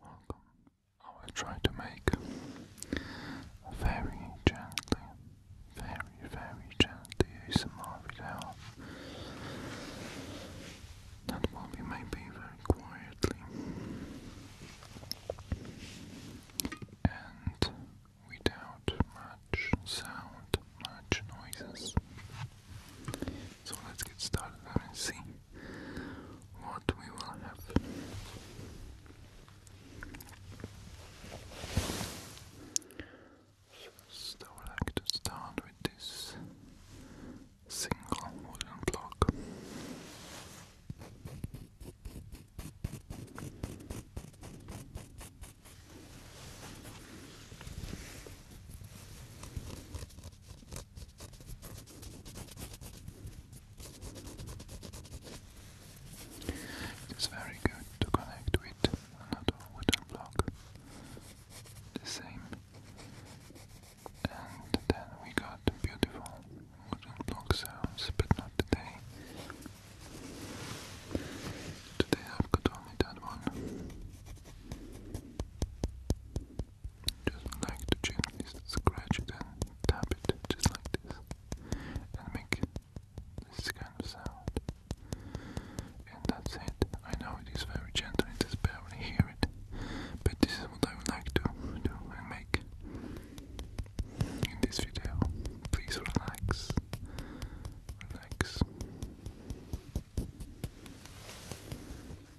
Welcome. I will try to make very gently, very, very gently ASMR video. That will be maybe very quietly. And without much sound, much noises. So let's get started and see what we will have. First, I would like to start with this single wooden block. It is very good to connect with another wooden block. The same. And then we got beautiful wooden block sounds, but not today. Today I've only that one. Just like to gently scratch it and tap it just like this and make this kind of sound. And that's it. I know it is very gentle, it is barely hear it, but this is what I would like to do and make in this video. Please relax. Relax.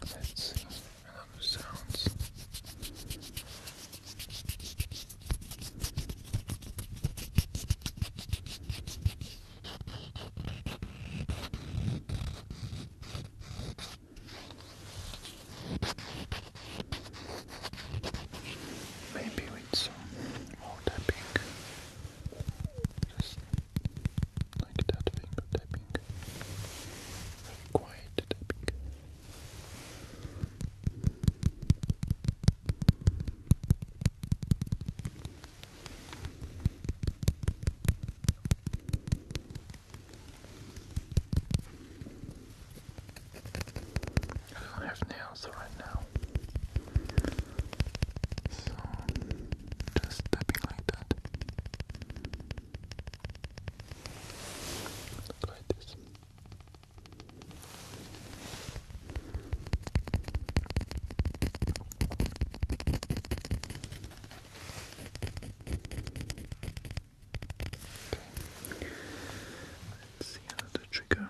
cleansing and other sounds. Maybe with some more tapping, just like that finger tapping, very quiet tapping. I don't have nails right now, so just tapping like that. Let's see another trigger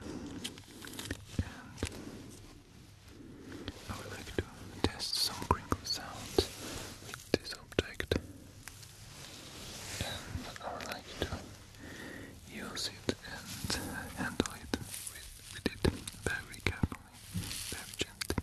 I would like to test some crinkle sounds with this object and I would like to use it and handle it with, it very carefully, very gently.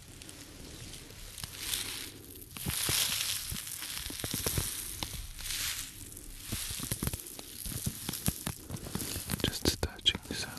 Just a touching sound.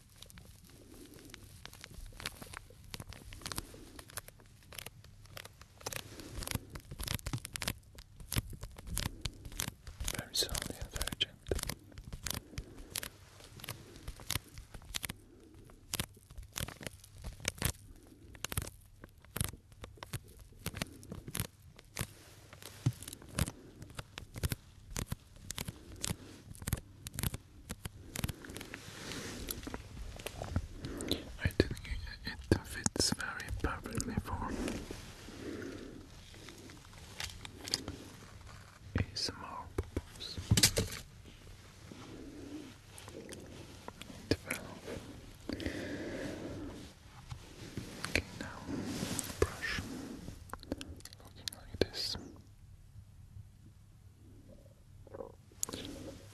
Very softly and very gently. I think it fits very perfectly for ASMR purpose. Twelve. Okay, now brush. Looking like this.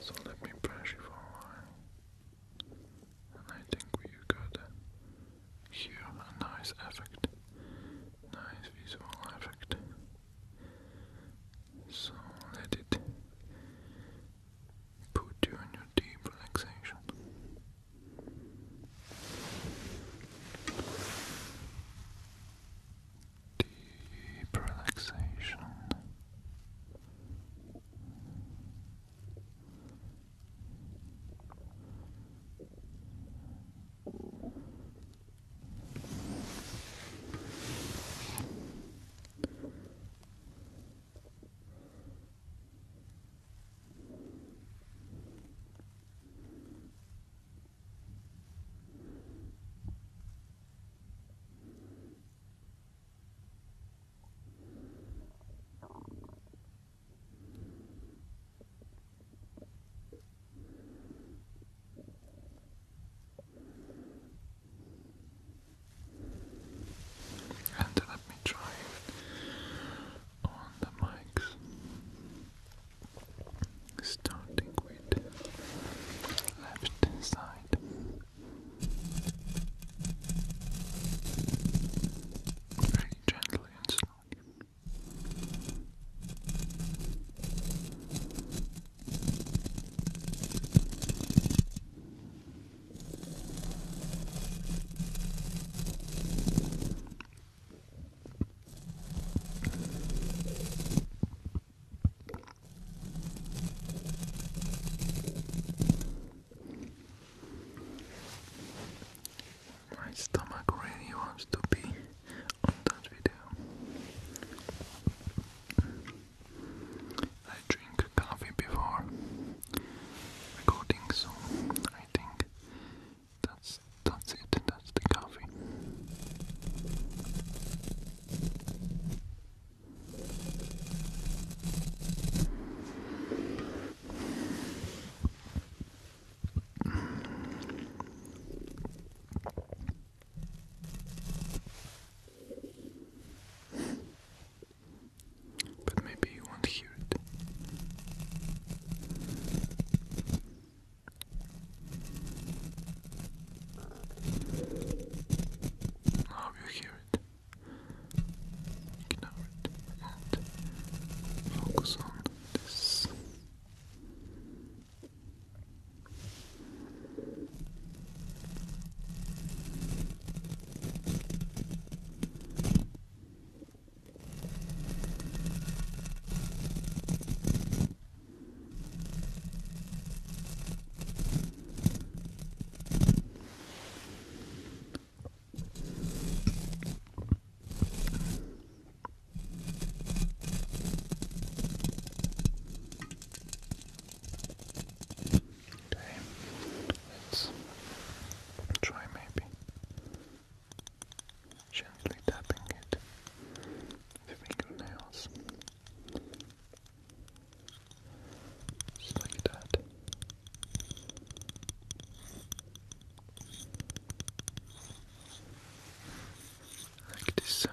So let me brush you for a while. And I think we got here a nice effect. Nice visual effect. So let it put you in your deep relaxation. Deep relaxation. And let me try on the mics. Starting with left side. Very gently and slowly. My stomach really wants to be on that video. I drink coffee before recording, so I think that's that's it. That's the coffee. But maybe you won't hear cute. I hope you hear it. Ignore it and focus on this. Okay, let's try maybe gently tapping it fingernails, just like that. Like this sound.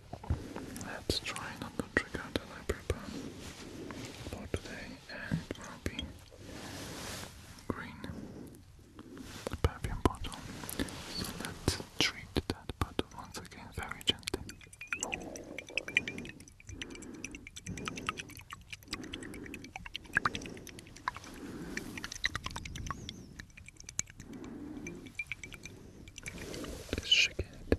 Let's try not to trigger the library for today it will be green perfume bottle. So let's treat that bottle once again very gently. shake it.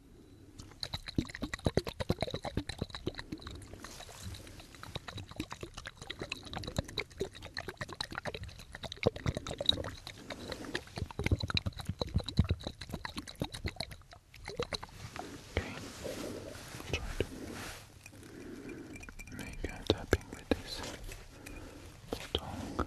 Okay, try to make a tapping with this tongue.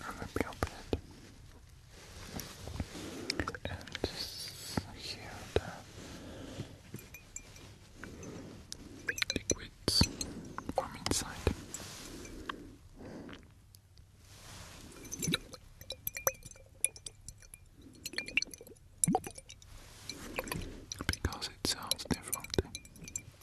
I'm gonna be open it and hear the liquids from inside. Because it sounds differently.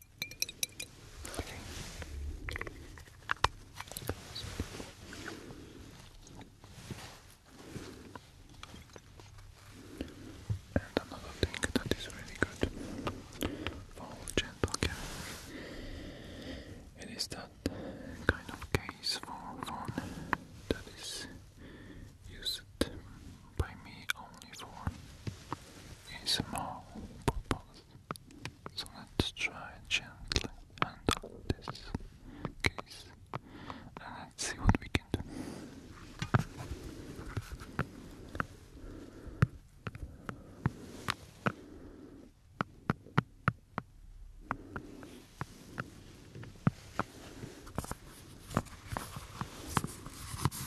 And another thing that is really good for gentle carrying, it is that kind of case for phone that is used by me only for ASMR purpose. So let's try gently handle this case and see what we can do.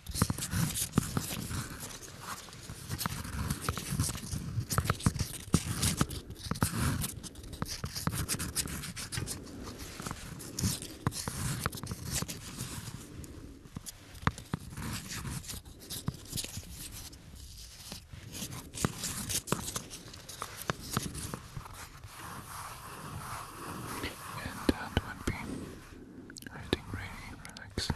And that would be I think really relaxing.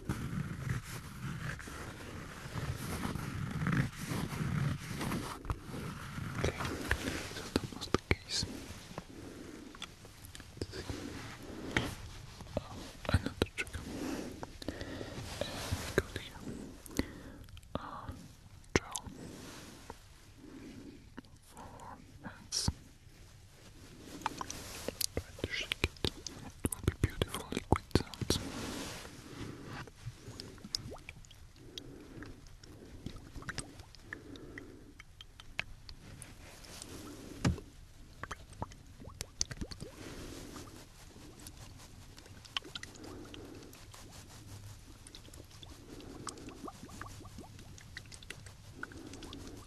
Okay, so the case. let uh, another trigger. Uh, and here. Uh, drill. hands. Try to shake it. It will be beautiful liquid sounds. Thank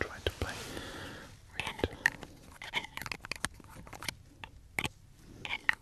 Try to play with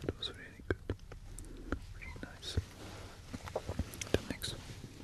That was really good. Really nice. The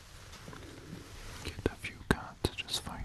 Get a few cards just for you.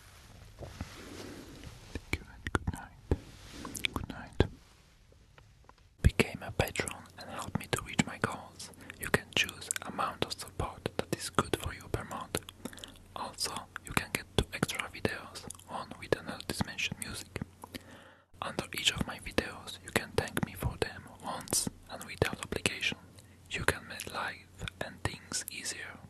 Thank you and good night. a patron and help me to reach my goals. You can choose amount of support that is good for you per month. Also, you can get two extra videos, one with another dimension music. Under each of my videos, you can thank me for them once and without obligation. You can make life and things easier.